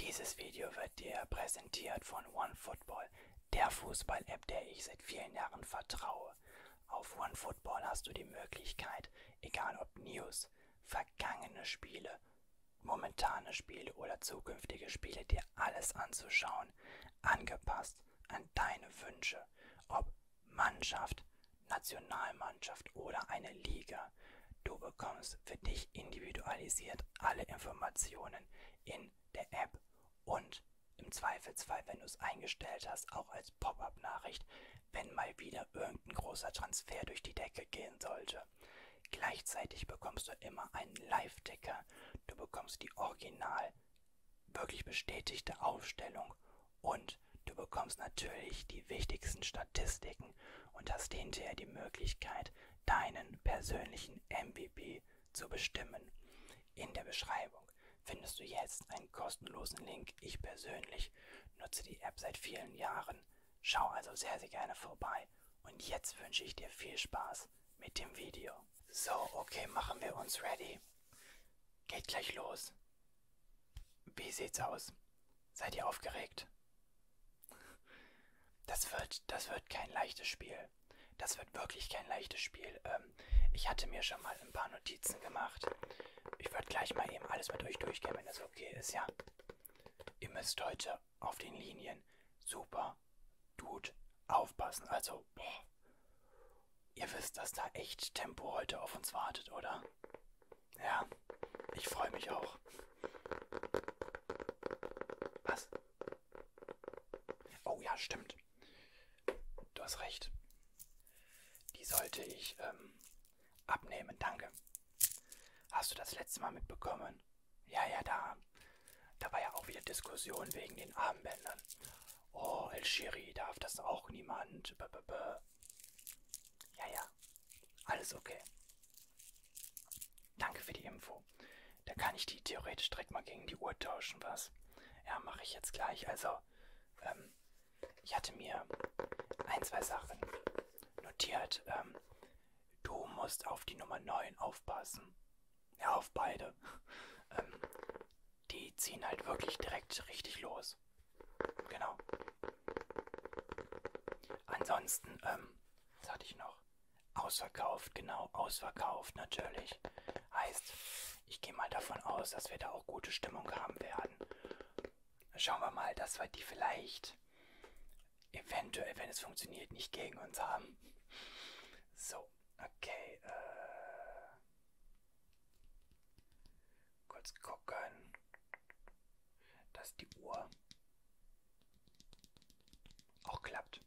Dieses Video wird dir präsentiert von OneFootball, der Fußball-App, der ich seit vielen Jahren vertraue. Auf OneFootball hast du die Möglichkeit, egal ob News, vergangene Spiele, momentane Spiele oder zukünftige Spiele, dir alles anzuschauen, angepasst an deine Wünsche, ob Mannschaft, Nationalmannschaft oder eine Liga. Du bekommst für dich individualisiert alle Informationen in der App und im Zweifelsfall, wenn du es eingestellt hast, auch als Pop-up-Nachricht, wenn mal wieder irgendein großer Transfer durch die Decke gehen sollte. Gleichzeitig bekommst du immer einen Live-Ticker. Du bekommst die original, wirklich bestätigte Aufstellung und du bekommst natürlich die wichtigsten Statistiken und hast hinterher die Möglichkeit, deinen persönlichen MVP zu bestimmen. In der Beschreibung findest du jetzt einen kostenlosen Link. Ich persönlich nutze die App seit vielen Jahren. Schau also sehr, sehr gerne vorbei. Und jetzt wünsche ich dir viel Spaß mit dem Video. So, okay, machen wir uns ready. Geht gleich los. Wie sieht's aus? Seid ihr aufgeregt? Das wird, das wird kein leichtes Spiel. Das wird wirklich kein leichtes Spiel. Ähm, ich hatte mir schon mal ein paar Notizen gemacht. Ich würde gleich mal eben alles mit euch durchgehen, wenn das okay ist, ja? Ihr müsst heute auf den Linien super gut aufpassen. Also, boah. Ihr wisst, dass da echt Tempo heute auf uns wartet, oder? Ja, ich freue mich auch. Was? Oh ja, stimmt. Du hast recht. Die sollte ich ähm, abnehmen, danke. Hast du das letzte Mal mitbekommen? Ja, ja, da. Da war ja auch wieder Diskussion wegen den Armbändern. Oh, El Shiri darf das auch niemand. B -b -b. Ja, ja. Alles okay. Danke für die Info. Da kann ich die theoretisch direkt mal gegen die Uhr tauschen, was? Ja, mache ich jetzt gleich. Also, ähm, ich hatte mir ein, zwei Sachen notiert. Ähm, du musst auf die Nummer 9 aufpassen. Ja, auf beide. ähm, die ziehen halt wirklich direkt richtig los. Genau. Ansonsten, ähm, was hatte ich noch? Ausverkauft, genau, ausverkauft natürlich. Heißt, ich gehe mal davon aus, dass wir da auch gute Stimmung haben werden. Schauen wir mal, dass wir die vielleicht eventuell, wenn es funktioniert, nicht gegen uns haben. So, okay. Äh, kurz gucken. Das ist die Uhr auch klappt.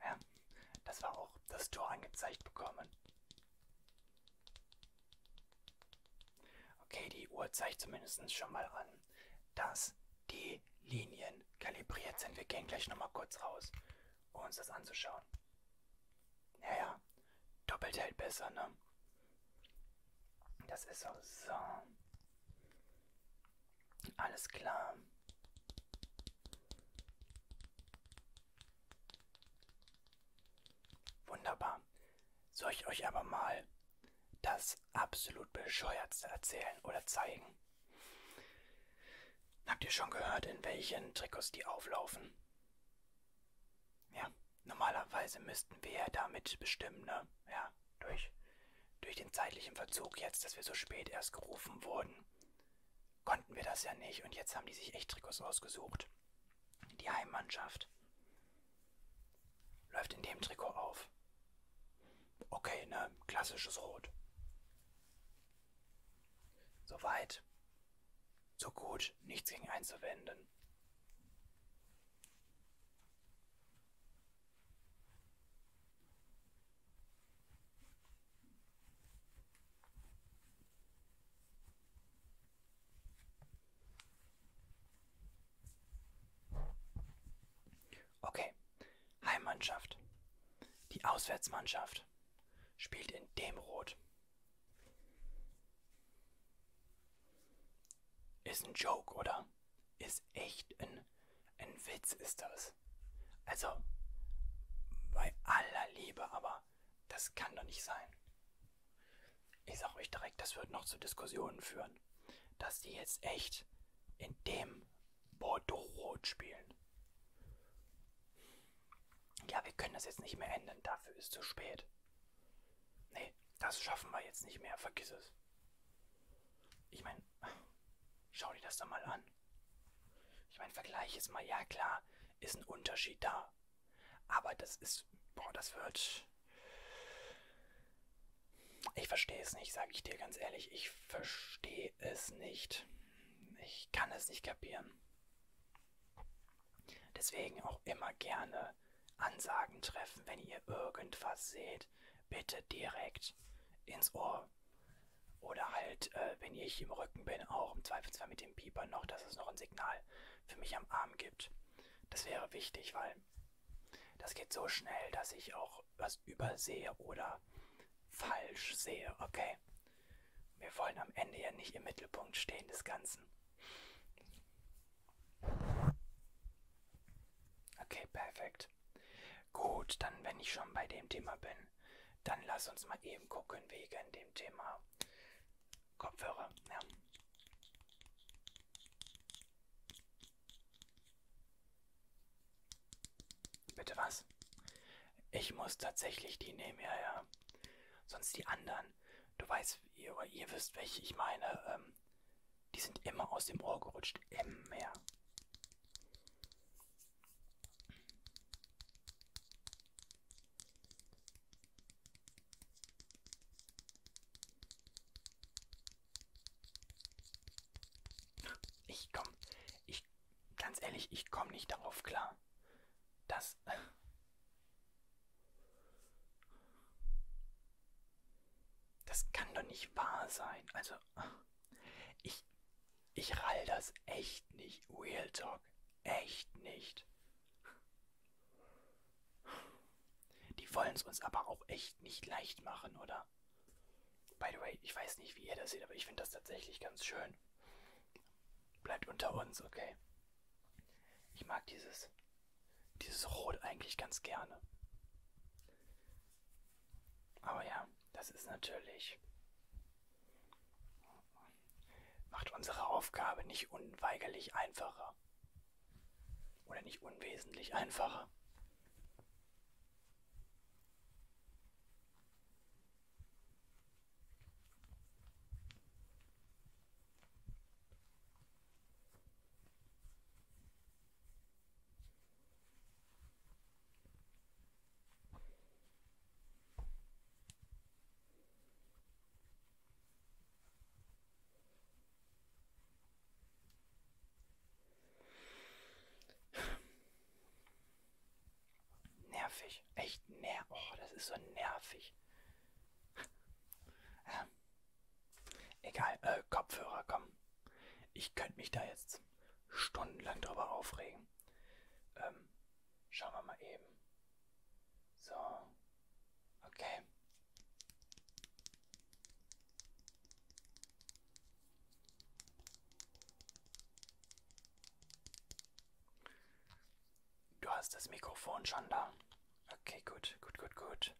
Ja, das war auch das Tor angezeigt bekommen. Okay, die Uhr zeigt zumindest schon mal an, dass die Linien kalibriert sind. Wir gehen gleich nochmal kurz raus, um uns das anzuschauen. Naja, doppelt hält besser, ne? Das ist so. So. Alles klar. Wunderbar. Soll ich euch aber mal das absolut bescheuertste erzählen oder zeigen? Habt ihr schon gehört, in welchen Trikots die auflaufen? Ja, normalerweise müssten wir ja damit bestimmen, ne? Ja durch, durch den zeitlichen Verzug jetzt, dass wir so spät erst gerufen wurden, konnten wir das ja nicht. Und jetzt haben die sich echt Trikots ausgesucht. Die Heimmannschaft läuft in dem Trikot auf. Okay, ne? Klassisches Rot. Soweit. So gut, nichts gegen einzuwenden. Okay, Heimmannschaft. Die Auswärtsmannschaft spielt in dem Rot. Ist ein Joke, oder? Ist echt ein, ein Witz, ist das. Also, bei aller Liebe, aber das kann doch nicht sein. Ich sag euch direkt, das wird noch zu Diskussionen führen, dass die jetzt echt in dem Bordeaux-Rot spielen. Ja, wir können das jetzt nicht mehr ändern, dafür ist zu spät. Nee, das schaffen wir jetzt nicht mehr, vergiss es. Ich meine, meine, schau dir das doch mal an. Ich meine, vergleich jetzt mal, ja klar, ist ein Unterschied da. Aber das ist, boah, das wird... Ich verstehe es nicht, sage ich dir ganz ehrlich. Ich verstehe es nicht. Ich kann es nicht kapieren. Deswegen auch immer gerne Ansagen treffen, wenn ihr irgendwas seht. Geld bitte direkt ins Ohr. Oder halt, äh, wenn ich im Rücken bin, auch im Zweifelsfall mit dem Pieper noch, dass es noch ein Signal für mich am Arm gibt. Das wäre wichtig, weil das geht so schnell, dass ich auch was übersehe oder falsch sehe. Okay. Wir wollen am Ende ja nicht im Mittelpunkt stehen des Ganzen. Okay, perfekt. Gut. Gut, dann wenn ich schon bei dem Thema bin, dann lass uns mal eben gucken wegen dem Thema Kopfhörer. Ja. Bitte was? Ich muss tatsächlich die nehmen, ja, ja. Sonst die anderen. Du weißt, ihr, ihr wisst, welche ich meine. Ähm, die sind immer aus dem Ohr gerutscht. Immer. Ich komm, ich, ganz ehrlich, ich komme nicht darauf klar. Das. Das kann doch nicht wahr sein. Also, ich, ich rall das echt nicht. Real Talk. Echt nicht. Die wollen es uns aber auch echt nicht leicht machen, oder? By the way, ich weiß nicht, wie ihr das seht, aber ich finde das tatsächlich ganz schön. Bleibt unter uns, okay? Ich mag dieses, dieses Rot eigentlich ganz gerne. Aber ja, das ist natürlich. macht unsere Aufgabe nicht unweigerlich einfacher. Oder nicht unwesentlich einfacher. Nervig. Echt nervig. Oh, das ist so nervig. Ähm, Egal, äh, Kopfhörer, komm. Ich könnte mich da jetzt stundenlang drüber aufregen. Ähm, schauen wir mal eben. So. Okay. Du hast das Mikrofon schon da. Okay, gut, gut, gut, gut.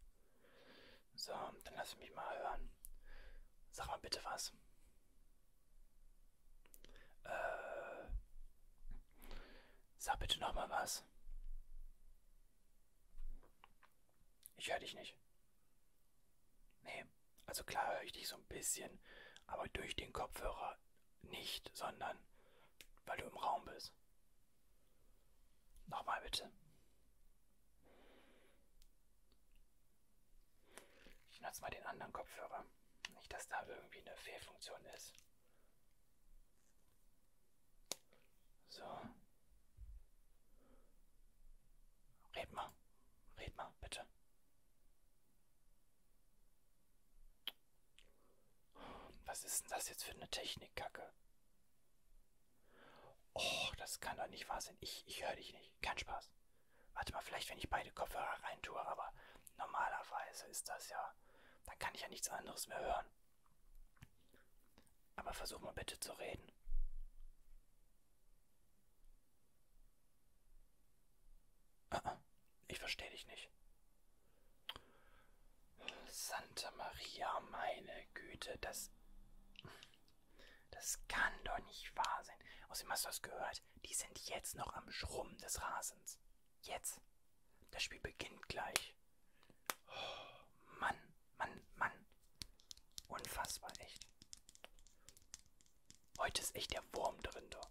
So, dann lass mich mal hören. Sag mal bitte was. Äh, sag bitte nochmal was. Ich höre dich nicht. Nee, also klar höre ich dich so ein bisschen, aber durch den Kopfhörer nicht, sondern weil du im Raum bist. Nochmal bitte. Ich nutze mal den anderen Kopfhörer. Nicht, dass da irgendwie eine Fehlfunktion ist. So. Red mal. Red mal, bitte. Was ist denn das jetzt für eine Technikkacke? Oh, das kann doch nicht wahr sein. Ich, ich höre dich nicht. Kein Spaß. Warte mal, vielleicht wenn ich beide Kopfhörer reintue, aber normalerweise ist das ja. Dann kann ich ja nichts anderes mehr hören. Aber versuch mal bitte zu reden. Ah, ich verstehe dich nicht. Santa Maria, meine Güte, das. Das kann doch nicht wahr sein. Außerdem hast du das gehört. Die sind jetzt noch am Schrummen des Rasens. Jetzt. Das Spiel beginnt gleich. Oh, Mann, Mann, Mann. Unfassbar, echt. Heute ist echt der Wurm drin, doch.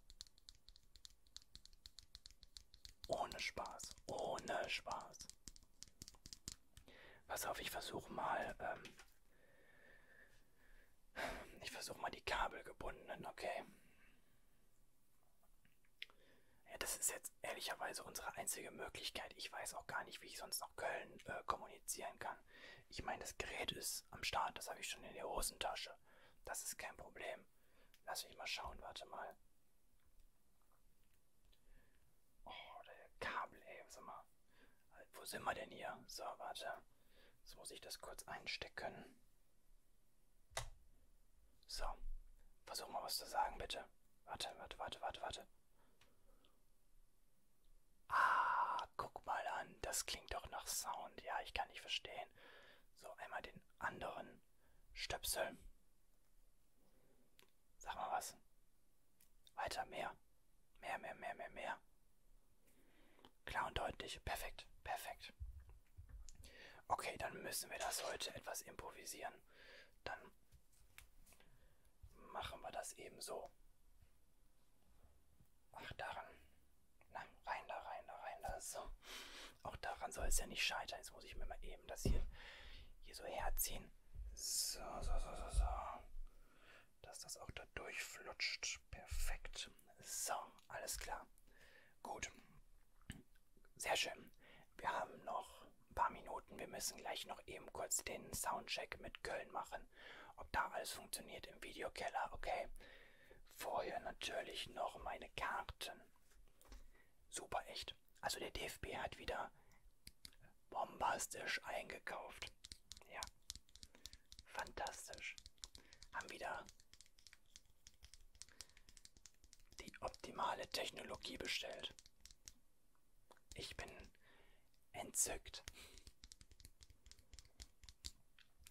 Ohne Spaß. Ohne Spaß. Pass auf, ich versuche mal. Ähm, ich versuche mal die kabelgebundenen, okay? Ja, das ist jetzt ehrlicherweise unsere einzige Möglichkeit. Ich weiß auch gar nicht, wie ich sonst nach Köln äh, kommunizieren kann. Ich meine, das Gerät ist am Start, das habe ich schon in der Hosentasche. Das ist kein Problem. Lass mich mal schauen, warte mal. Oh, der Kabel, ey, was immer. Wo sind wir denn hier? So, warte. Jetzt muss ich das kurz einstecken. So. Versuch mal was zu sagen, bitte. Warte, warte, warte, warte, warte. Ah, guck mal an. Das klingt doch nach Sound. Ja, ich kann nicht verstehen. So, einmal den anderen Stöpsel. Sag mal was. Weiter, mehr. Mehr, mehr, mehr, mehr, mehr. Klar und deutlich. Perfekt, perfekt. Okay, dann müssen wir das heute etwas improvisieren. Dann machen wir das eben so. Ach, daran. Nein, rein da, rein da, rein da. So. Auch daran soll es ja nicht scheitern. Jetzt muss ich mir mal eben das hier, hier so herziehen. So, so, so, so, so. Dass das auch da durchflutscht. Perfekt. So, alles klar. Gut. Sehr schön. Wir haben noch ein paar Minuten. Wir müssen gleich noch eben kurz den Soundcheck mit Köln machen. Ob da alles funktioniert im Videokeller, okay. Vorher natürlich noch meine Karten. Super echt. Also der DFB hat wieder bombastisch eingekauft. Ja, fantastisch. Haben wieder die optimale Technologie bestellt. Ich bin entzückt.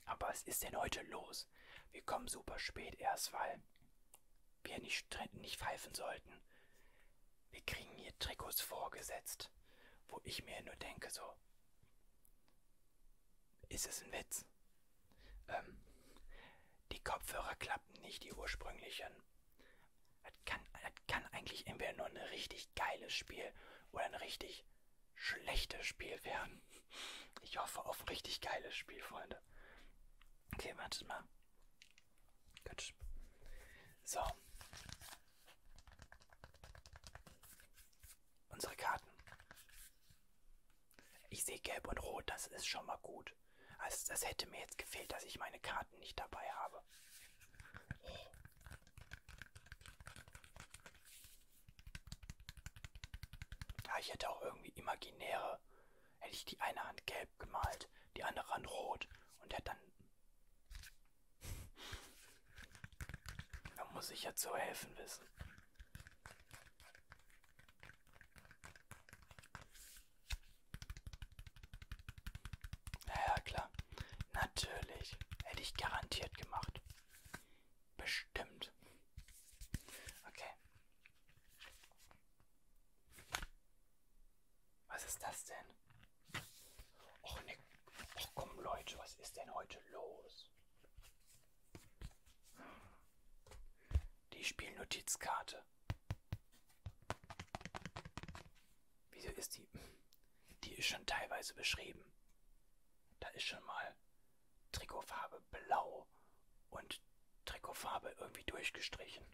Aber was ist denn heute los? Wir kommen super spät erst, weil wir nicht, nicht pfeifen sollten. Wir kriegen hier Trikots vorgesetzt, wo ich mir nur denke, so, ist es ein Witz? Ähm, die Kopfhörer klappen nicht, die ursprünglichen. Das kann, das kann eigentlich entweder nur ein richtig geiles Spiel oder ein richtig schlechtes Spiel werden. Ich hoffe auf ein richtig geiles Spiel, Freunde. Okay, wartet mal. Gut. So. Unsere Karten. Ich sehe gelb und rot, das ist schon mal gut. Also das hätte mir jetzt gefehlt, dass ich meine Karten nicht dabei habe. Oh. Ja, ich hätte auch irgendwie imaginäre, hätte ich die eine Hand gelb gemalt, die andere Hand rot und hätte dann da muss ich ja zu helfen wissen. Ja, klar. Natürlich. Hätte ich garantiert gemacht. Bestimmt. Okay. Was ist das denn? Och, ne, och komm Leute, was ist denn heute los? Die Spielnotizkarte. Wieso ist die? Die ist schon teilweise beschrieben. Da ist schon mal Trikotfarbe blau und Trikotfarbe irgendwie durchgestrichen.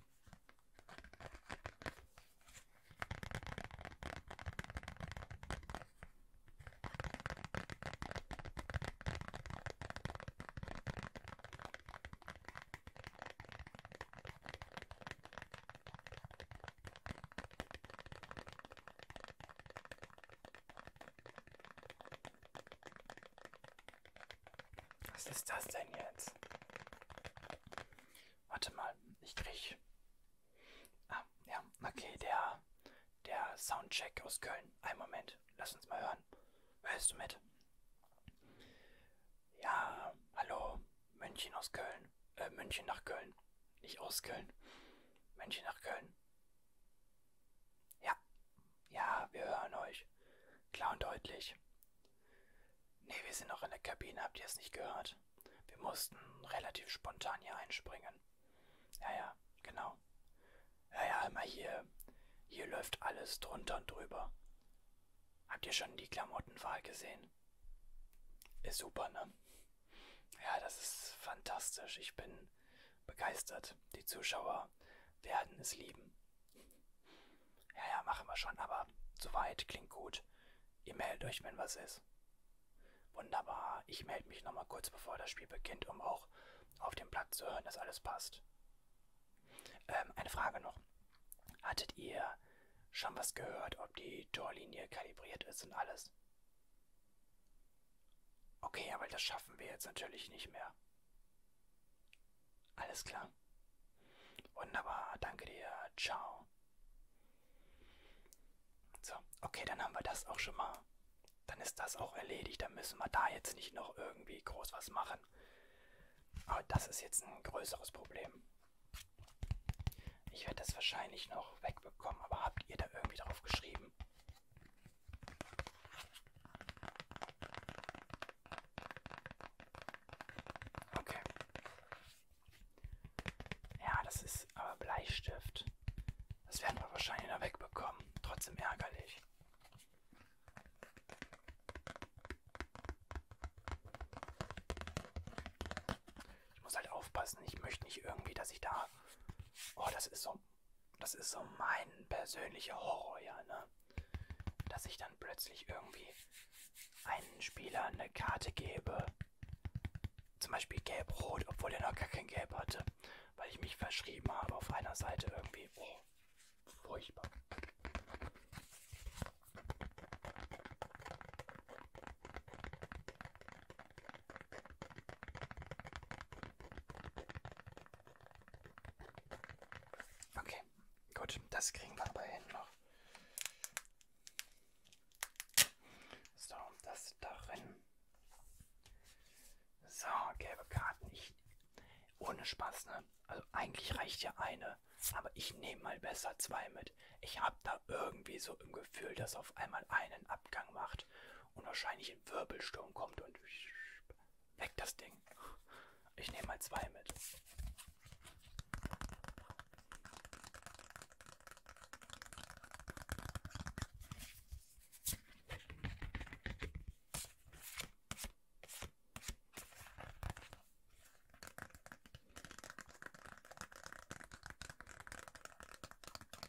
Was ist das denn jetzt? Warte mal, ich krieg. Ah, ja, okay, der, der Soundcheck aus Köln. Ein Moment, lass uns mal hören. Hörst du mit? Ja, hallo, München aus Köln. Äh, München nach Köln. Nicht aus Köln. München nach Köln. Ja, ja, wir hören euch. Klar und deutlich. Nee, wir sind noch in der Kabine, habt ihr es nicht gehört? Wir mussten relativ spontan hier einspringen. Ja, ja, genau. Ja, ja, immer hier. Hier läuft alles drunter und drüber. Habt ihr schon die Klamottenwahl gesehen? Ist super, ne? Ja, das ist fantastisch. Ich bin begeistert. Die Zuschauer werden es lieben. Ja, ja, machen wir schon, aber soweit klingt gut. Ihr meldet euch, wenn was ist. Wunderbar, ich melde mich nochmal kurz bevor das Spiel beginnt, um auch auf dem Platz zu hören, dass alles passt. Ähm, eine Frage noch. Hattet ihr schon was gehört, ob die Torlinie kalibriert ist und alles? Okay, aber das schaffen wir jetzt natürlich nicht mehr. Alles klar. Wunderbar, danke dir. Ciao. So, okay, dann haben wir das auch schon mal. Dann ist das auch erledigt. Dann müssen wir da jetzt nicht noch irgendwie groß was machen. Aber das ist jetzt ein größeres Problem. Ich werde das wahrscheinlich noch wegbekommen, aber habt ihr da irgendwie drauf geschrieben? Okay. Ja, das ist aber Bleistift. Das werden wir wahrscheinlich da wegbekommen. Trotzdem ärgerlich. Ich muss halt aufpassen. Ich möchte nicht irgendwie, dass ich da... Oh, das ist so... Das ist so mein persönlicher Horror, ja, ne? Dass ich dann dann plötzlich irgendwie einen Spieler eine Karte gebe, zum Beispiel gelb-rot, obwohl er noch gar kein Gelb hatte, weil ich mich verschrieben habe auf einer Seite irgendwie. Oh, furchtbar. Okay, gut, das kriegen wir aber hin noch. So, das darin. So, gelbe Karten. Ich, ohne Spaß, ne? Also eigentlich reicht ja eine, aber ich nehme mal besser zwei mit. Ich habe da irgendwie so im Gefühl, dass auf einmal einen Abgang macht und wahrscheinlich ein Wirbelsturm kommt und weg das Ding. Ich nehme mal zwei mit.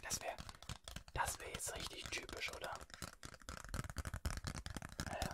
Das wäre das wäre jetzt richtig typisch, oder? Naja.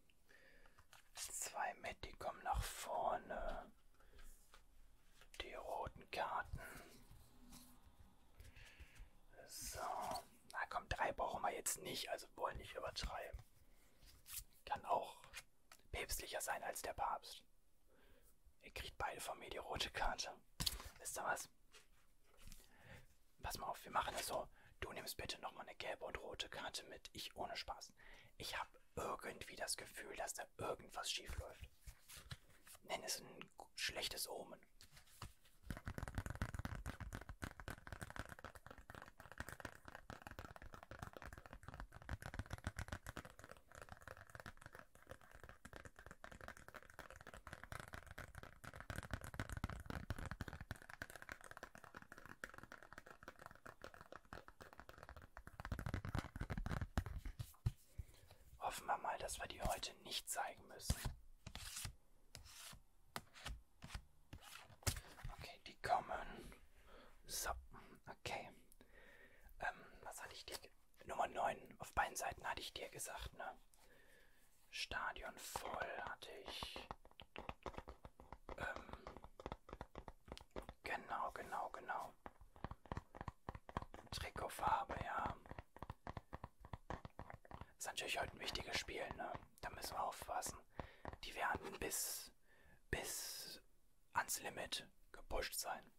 Zwei mit, die kommen nach vorne. Die roten Karten. So. Na komm, drei brauchen wir jetzt nicht, also wollen nicht übertreiben. Kann auch päpstlicher sein als der Papst. Ihr kriegt beide von mir die rote Karte. Wisst ihr was? pass mal auf, wir machen das so. Du nimmst bitte nochmal eine gelbe und rote Karte mit. Ich ohne Spaß. Ich habe irgendwie das Gefühl, dass da irgendwas schief läuft. Nenn es ein schlechtes Omen. Hoffen wir mal, dass wir die heute nicht zeigen müssen. Okay, die kommen. So, okay. Ähm, was hatte ich dir? Nummer 9. Auf beiden Seiten hatte ich dir gesagt, ne? Stadion voll hatte ich. Ähm, genau, genau, genau. Trikotfarbe, ja. Ist natürlich heute ein wichtiges Spiel, ne? Da müssen wir aufpassen. Die werden bis, bis ans Limit gepusht sein.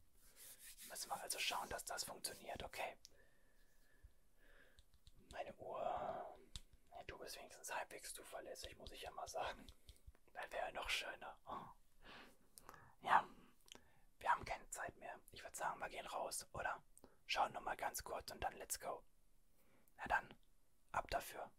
Müssen wir also schauen, dass das funktioniert, okay? Meine Uhr. Ja, du bist wenigstens halbwegs zuverlässig, muss ich ja mal sagen. Das wäre ja noch schöner. Oh. Ja, wir haben keine Zeit mehr. Ich würde sagen, wir gehen raus, oder? Schauen noch mal ganz kurz und dann let's go. Na dann, ab dafür.